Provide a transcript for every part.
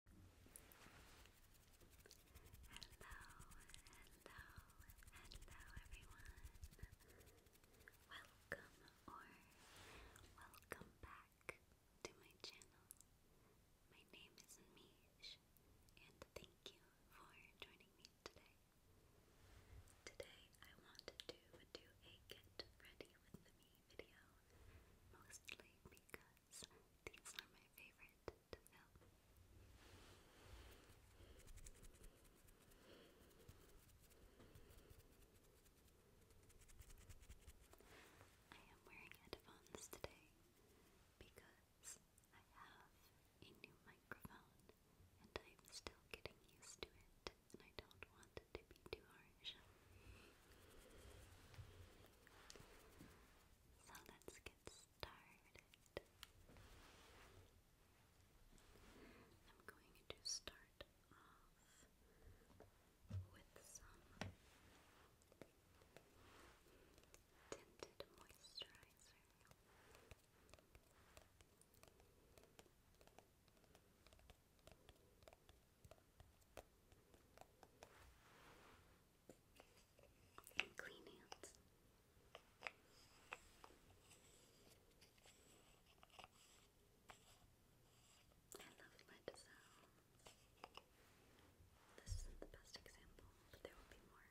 hello everyone. Welcome or welcome back to my channel. My name is Mish and thank you for joining me today. Today I wanted to do a get ready with me video mostly because because these are my favorite to film. I am wearing headphones today because I have a new microphone and I'm still getting used to it and I don't want to be too harsh. So let's get started. I'm going to start off with some tinted moisturizer and clean hands. I loved my design. This isn't the best example, but there will be more.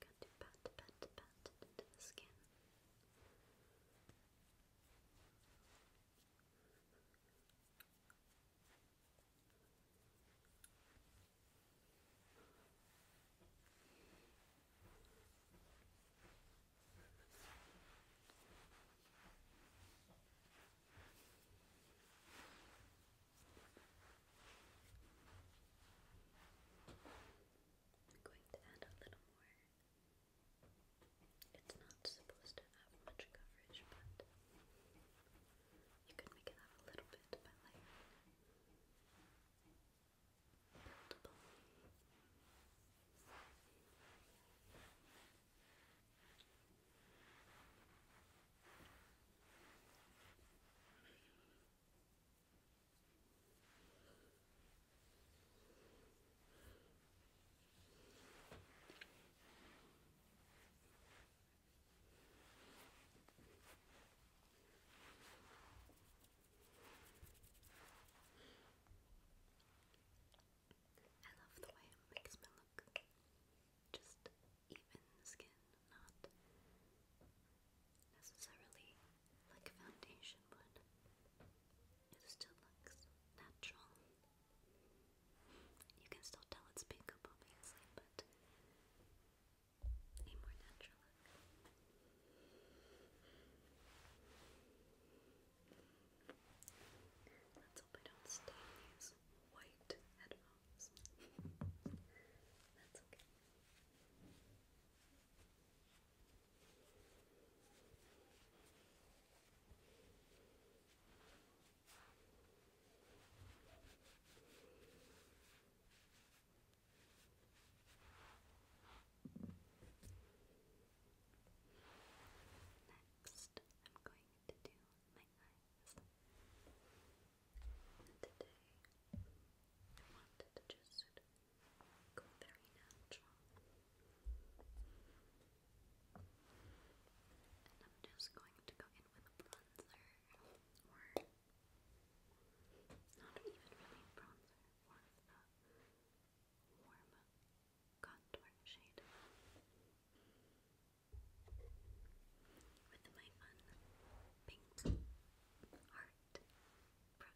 Got to pat, pat, pat it into the skin. I'm going to add a little more. It's not supposed to have much coverage, but you can make it have a little bit by layering it. I love the way it makes me look just even skin, not necessarily like foundation would. It still looks natural. You can still tell it's makeup, obviously, but a more natural look. Let's hope I don't stain these white headphones. Next, I'm going to do my eyes. today, I wanted just go very And I'm just going to go in with a bronzer, or not even really bronzer, more a warm contour shade. With my fun pink heart brush.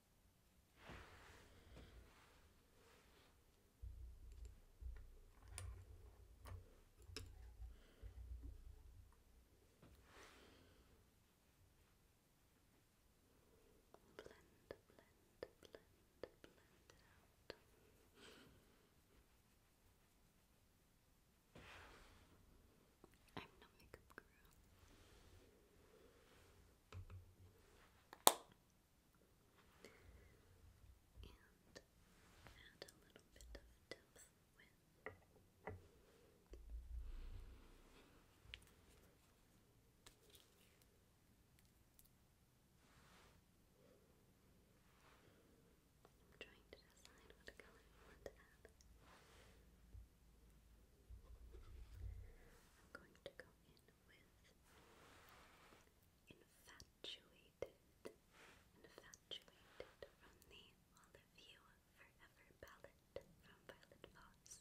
blend, blend, blend, blend it out. I'm no makeup guru and add a little bit of depth I'm trying to decide what color I want to add. I'm going to go with Infatuated, Infatuated from the All You Forever palette from Violet Fox.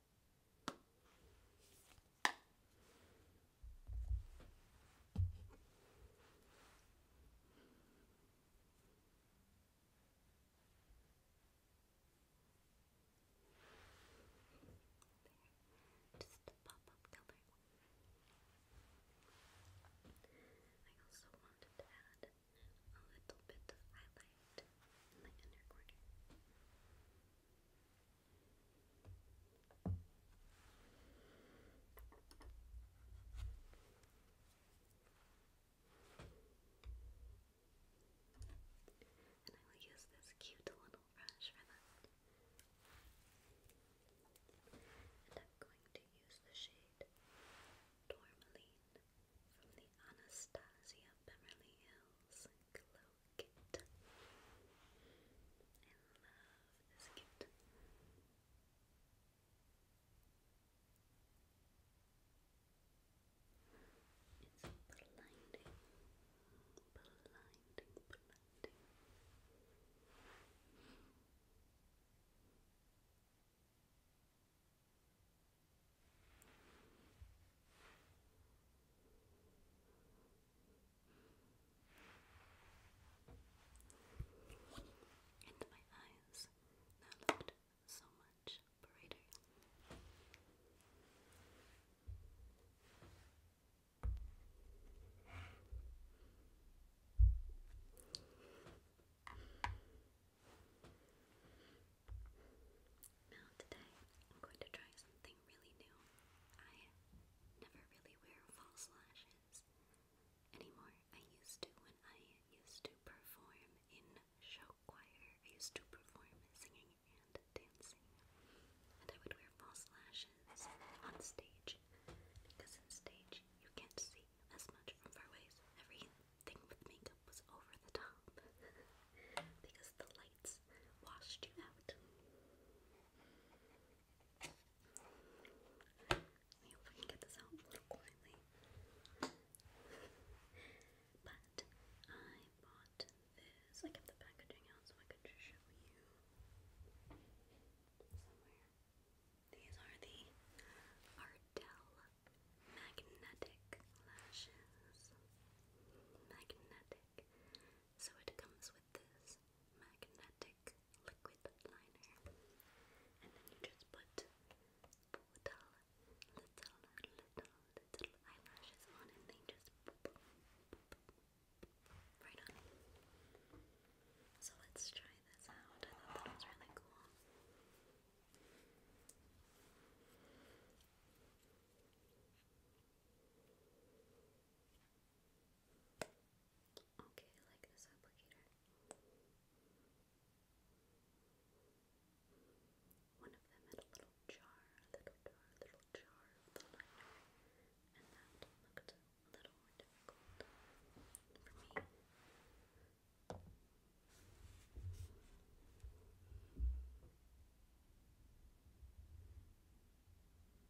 Just a pop-up color. I also wanted to add a little bit of highlight in my inner corner. And I will use this cute little brush for that. And I'm going to use the shade Tourmaline from the Anastasia Beverly Hills Glow kit. I love this kit. It's blinding, blinding, blinding. And my eyes now looked so much brighter. Now today, I'm going to try something really new. I never really wear false lashes anymore. I used to when I used to perform in show choir. I used to perform singing and dancing. And I would wear false lashes on stage because on stage you can't see as much from far away. everything with makeup was over the top. because the lights washed you out. I I get this out a little quietly. but I bought this. I kept the packaging out so I could just show you These are the Ardell magnetic lashes. Magnetic. So it comes with this magnetic liquid liner, and then you just put little, little, little, little eyelashes on, and they just right on. So let's try this out. I thought that was really cool. Okay, I like this applicator. One of them had a little jar, a little jar, a little jar of the liner, and that looked a little difficult for me.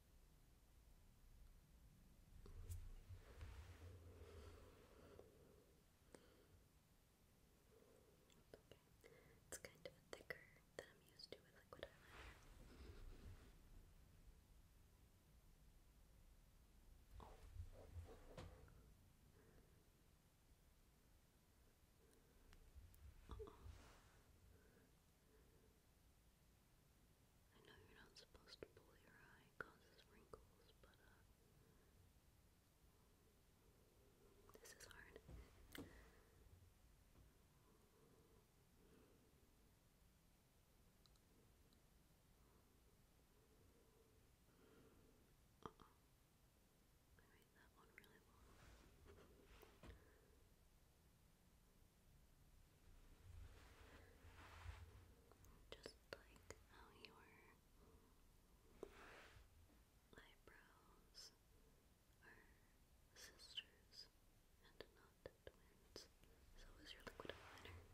Okay. It's kind of thicker than I'm used to with liquid eyeliner. I know you're not supposed to pull your eye, causes wrinkles, but uh, This is hard. I made that one really long. Just like how your eyebrows are sisters and not twins, so is your liquid eyeliner.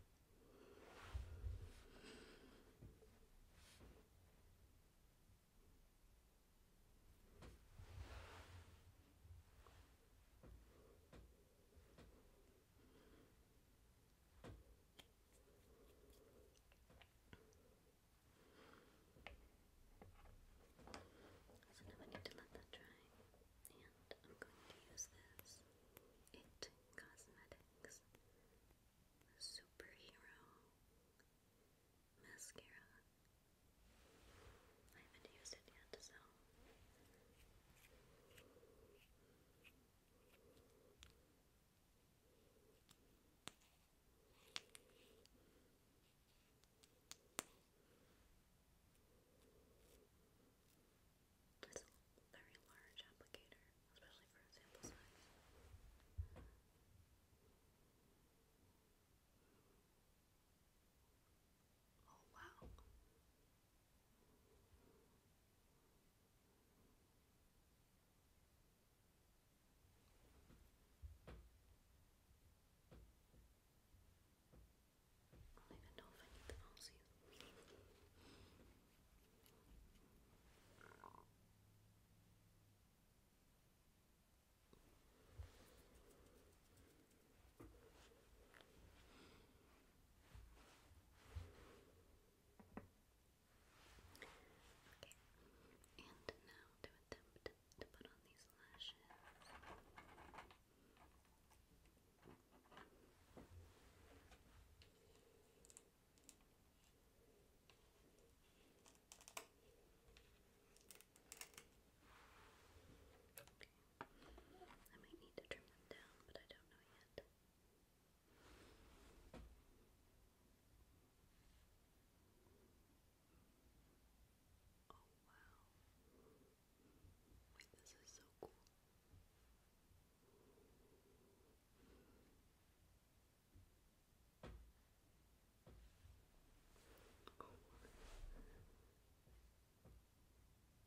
So now I need to let that dry, and I'm going to use this It Cosmetics Superhero Mascara. I haven't used it yet, so. It's a very large applicator, especially for a sample size. Oh, wow. I don't even know if I need the mouse Okay, and now to attempt to put on these lashes. I might need to trim them down, but I don't know yet. Oh wow. Wait, this is so cool. Oh.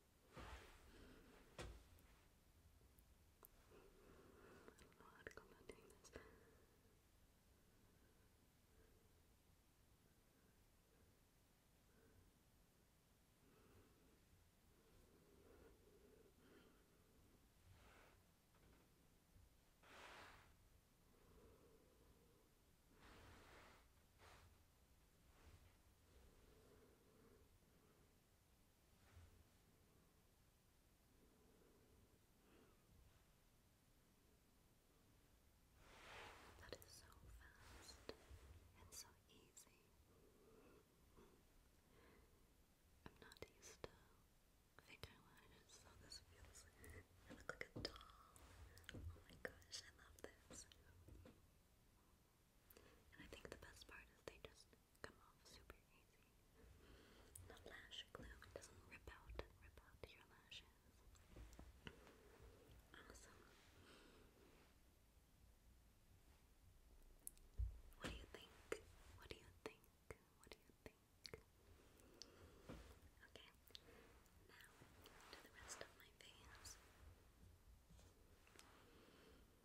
I don't know how to go about doing this. I that is so fast and so easy. I'm not used to finger lashes, so this feels. I look like a doll. Oh my gosh, I love this. And I think the best part is they just come off super easy. The lash glue doesn't rip out rip out your lashes. Awesome. What do you think? What do you think? What do you think? Okay. Now to the rest of my face.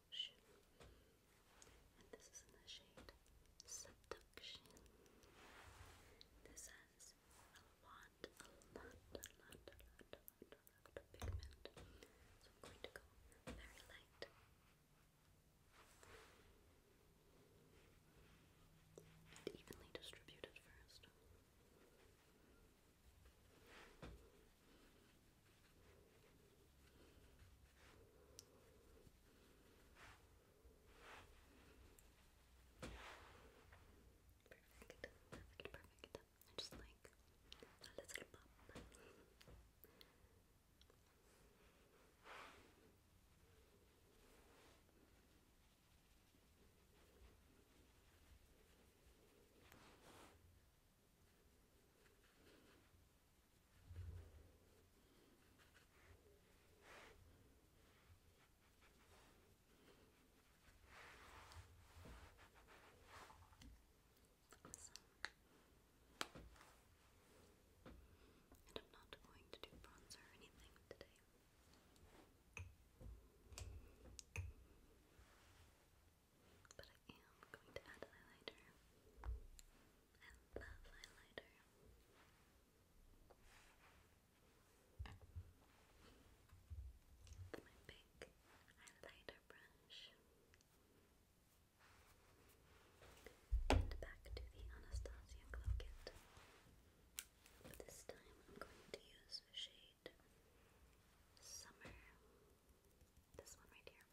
Ash. And this is in the shade Seduction. This has a lot, a lot, a lot, a lot, a lot, a lot of pigment. So I'm going to go very light. And evenly distributed first. Perfect, perfect, perfect. just like a little pop. Awesome. And I'm not going to do bronzer or anything today. But I am going to add eyeliner. I love highlighter. It's my big highlighter brush. And back to the Anastasia Glow But this time I'm going to use the shade Summer. This one right here.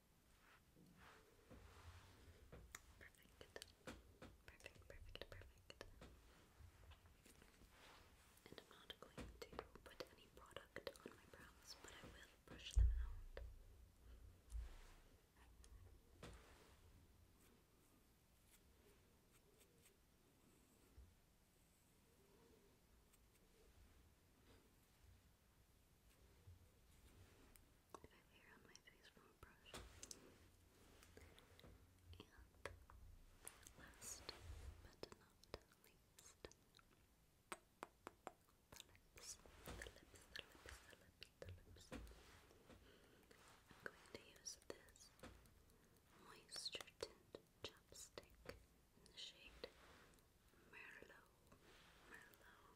Perfect. Perfect, perfect, perfect. And I'm not going to put any product on my brows, but I will brush them out. I have hair on my face from a brush. And last but not least, the lips, the lips, the lips, the lips, the lips. I'm going to use this moisture tint chapstick in the shade Merlot, Merlot.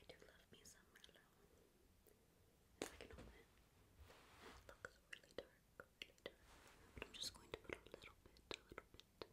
I do love me some Merlot. If I can open it, looks really dark, really dark. But I'm just going to put a little bit, a little bit.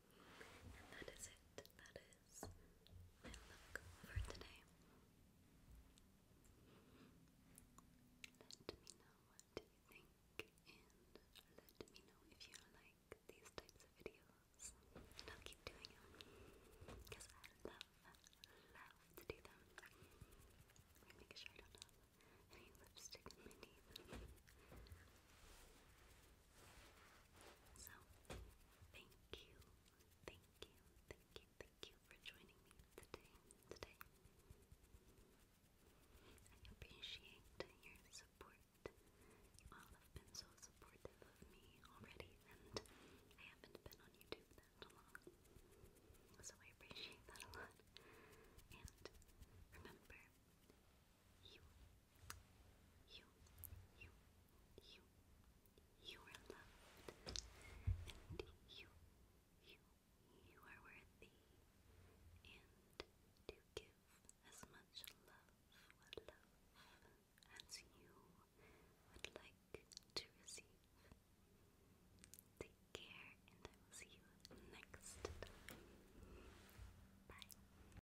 And that is it. That is my look for today. Let me know what you think and let me know if you like these types of videos. And I'll keep doing them because I love, love to do them. make sure I don't have any lipstick in my so, thank you, thank you, thank you, thank you for joining me today. Today, I appreciate your support. You have been so supportive of me already, and I haven't been on YouTube that long, so I appreciate that a lot. And remember, you, you, you, you, you are loved, and you, you, you are worthy, and to give as much love, love as you would like to receive. Take care, and I will see you next time. Bye.